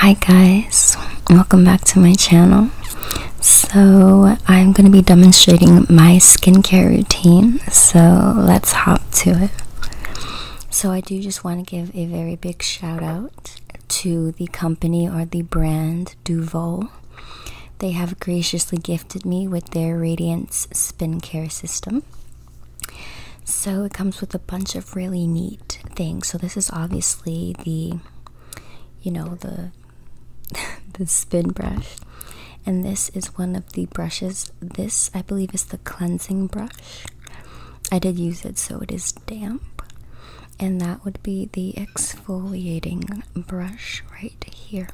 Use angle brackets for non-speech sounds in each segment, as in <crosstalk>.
Hi guys, welcome back to my channel. So, I'm going to be demonstrating my skincare routine. So, let's hop to it. So, I do just want to give a very big shout out to the company or the brand Duvol. They have graciously gifted me with their Radiance Spin Care System. So it comes with a bunch of really neat things. So this is obviously the you know the <laughs> the spin brush. And this is one of the brushes. This I believe is the cleansing brush. I did use it so it is damp. And that would be the exfoliating brush right here.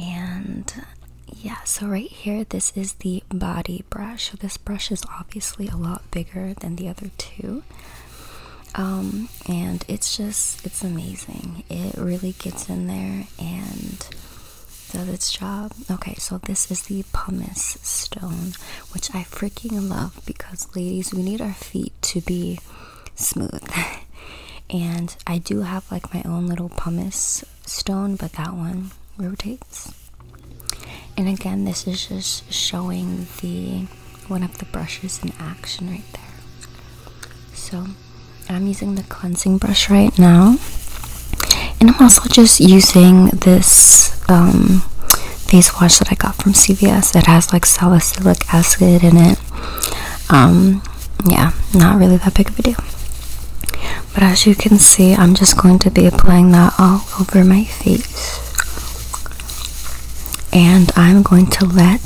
And yeah, so right here, this is the body brush. So this brush is obviously a lot bigger than the other two. Um, and it's just, it's amazing. It really gets in there and does its job. Okay, so this is the pumice stone, which I freaking love because, ladies, we need our feet to be smooth. <laughs> and I do have like my own little pumice stone, but that one rotates. And again, this is just showing the one of the brushes in action right there. So I'm using the cleansing brush right now, and I'm also just using this um, face wash that I got from CVS. It has like salicylic acid in it. Um, yeah, not really that big of a deal. But as you can see, I'm just going to be applying that all over my face. And I'm going to let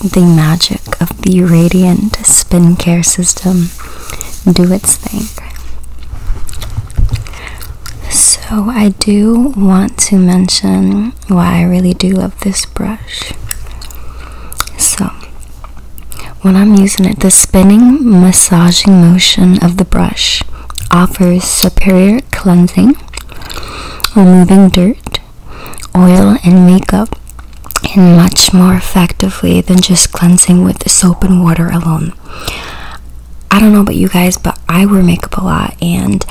the magic of the Radiant Spin Care System do its thing. So, I do want to mention why I really do love this brush. So, when I'm using it, the spinning, massaging motion of the brush offers superior cleansing, removing dirt, oil, and makeup, and much more effectively than just cleansing with soap and water alone. I don't know about you guys, but I wear makeup a lot, and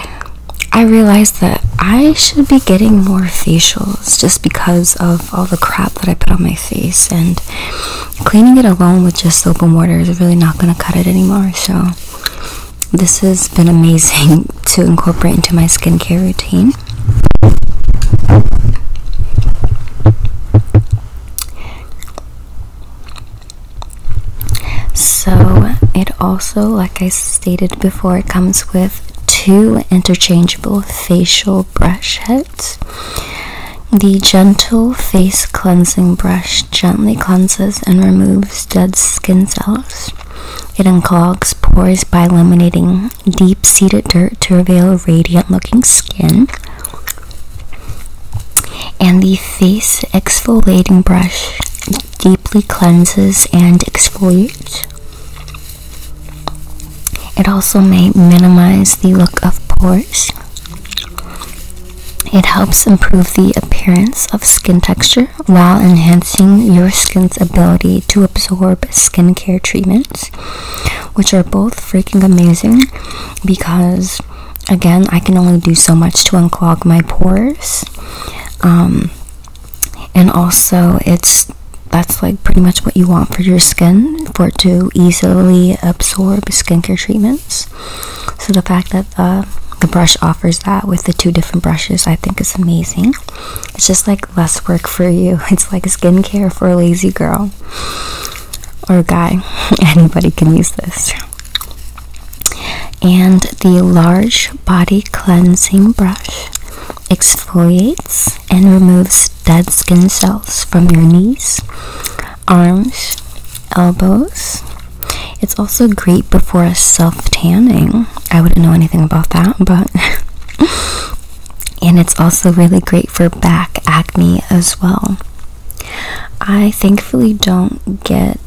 I realized that I should be getting more facials just because of all the crap that I put on my face, and cleaning it alone with just soap and water is really not going to cut it anymore. So, this has been amazing <laughs> to incorporate into my skincare routine. So, it also, like I stated before, it comes with two interchangeable facial brush heads. The gentle face cleansing brush gently cleanses and removes dead skin cells. It unclogs pores by eliminating deep seated dirt to reveal radiant looking skin. And the face exfoliating brush deeply cleanses and exfoliates. It also may minimize the look of pores. It helps improve the appearance of skin texture while enhancing your skin's ability to absorb skincare treatments, which are both freaking amazing because, again, I can only do so much to unclog my pores. Um, and also, it's that's like pretty much what you want for your skin for it to easily absorb skincare treatments. So the fact that the brush offers that with the two different brushes, I think is amazing. It's just like less work for you. <laughs> It's like skincare for a lazy girl or guy. <laughs> Anybody can use this. And the large body cleansing brush exfoliates and removes dead skin cells from your knees, arms, elbows. It's also great before self tanning. I wouldn't know anything about that, but. <laughs> and it's also really great for back acne as well. I thankfully don't get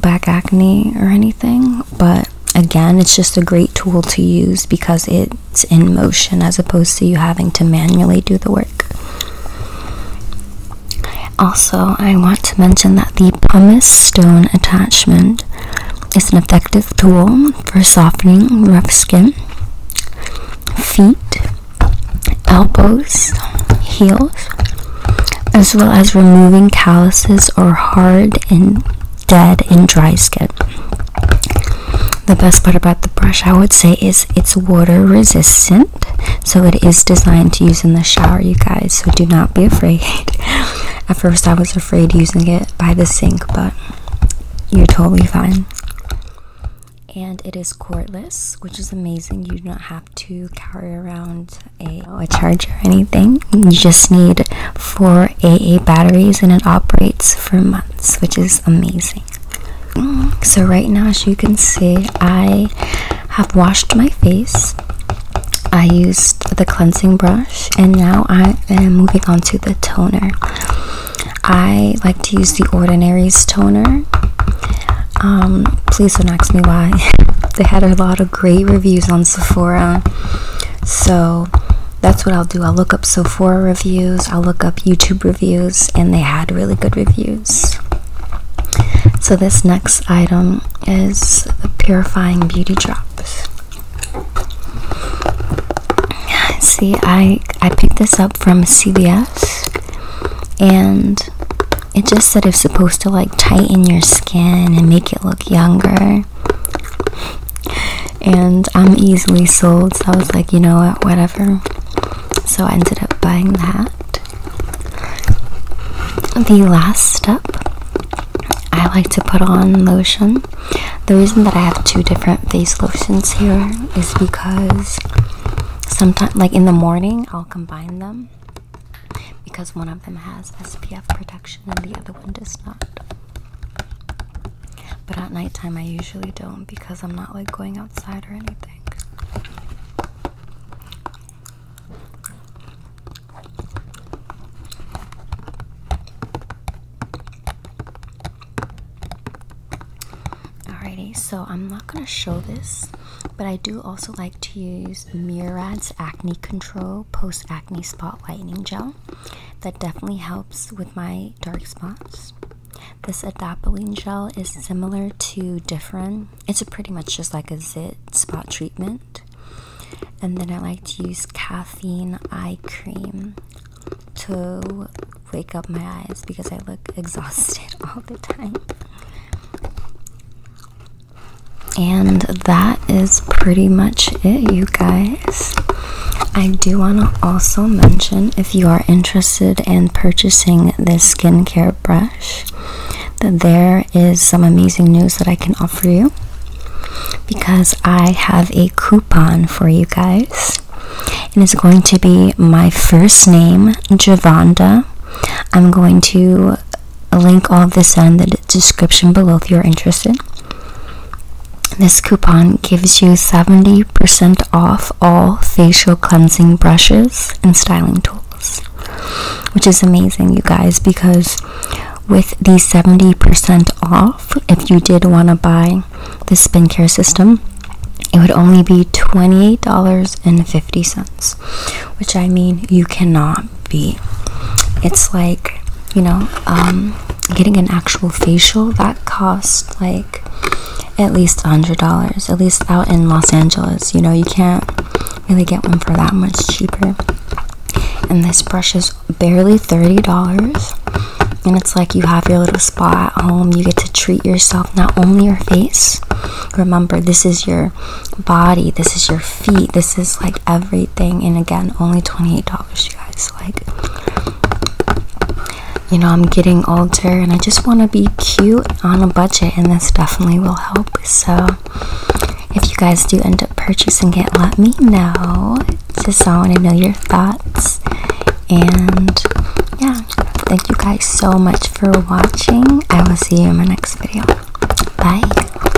back acne or anything, but again, it's just a great tool to use because it it's in motion as opposed to you having to manually do the work. Also, I want to mention that the pumice stone attachment is an effective tool for softening rough skin, feet, elbows, heels, as well as removing calluses or hard and dead and dry skin. The best part about the brush, I would say, is it's water resistant, so it is designed to use in the shower, you guys. So do not be afraid. <laughs> At first, I was afraid using it by the sink, but you're totally fine. And it is cordless, which is amazing. You do not have to carry around a, a charger or anything. You just need four AA batteries and it operates for months, which is amazing. So, right now, as you can see, I have washed my face. I used the cleansing brush and now I am moving on to the toner. I like to use the Ordinary's toner. Um, please don't ask me why. <laughs> they had a lot of great reviews on Sephora. So that's what I'll do. I'll look up Sephora reviews, I'll look up YouTube reviews, and they had really good reviews. So, this next item is the Purifying Beauty Drops. See, I, I picked this up from CVS, and it just said it's supposed to like tighten your skin and make it look younger. And I'm easily sold, so I was like, you know what, whatever. So I ended up buying that. The last step, I like to put on lotion. The reason that I have two different face lotions here is because sometimes, like in the morning, I'll combine them because one of them has SPF protection and the other one does not. But at nighttime, I usually don't because I'm not like going outside or anything. Alrighty, so I'm not gonna show this, but I do also like to use Murad's Acne Control Post Acne Spot Lightening Gel. That definitely helps with my dark spots. This adapalene gel is similar to Differin. It's pretty much just like a zit spot treatment. And then I like to use caffeine eye cream to wake up my eyes because I look <laughs> exhausted all the time and that is pretty much it you guys i do want to also mention if you are interested in purchasing this skincare brush that there is some amazing news that i can offer you because i have a coupon for you guys and it's going to be my first name javonda i'm going to link all of this in the description below if you're interested. This coupon gives you 70% off all facial cleansing brushes and styling tools, which is amazing, you guys, because with the 70% off, if you did want to buy the Spin Care system, it would only be $28.50, which I mean, you cannot be It's like, you know, um, getting an actual facial that costs like at least a $100, at least out in Los Angeles. You know, you can't really get one for that much cheaper. And this brush is barely $30. And it's like you have your little spa at home, you get to treat yourself, not only your face. Remember, this is your body, this is your feet. This is like everything, and again, only $28, you guys. Like, you know, I'm getting older and I just want to be cute on a budget, and this definitely will help. So, if you guys do end up purchasing it, let me know. Just I want to know your thoughts, and yeah, thank you guys so much for watching. I will see you in my next video. Bye.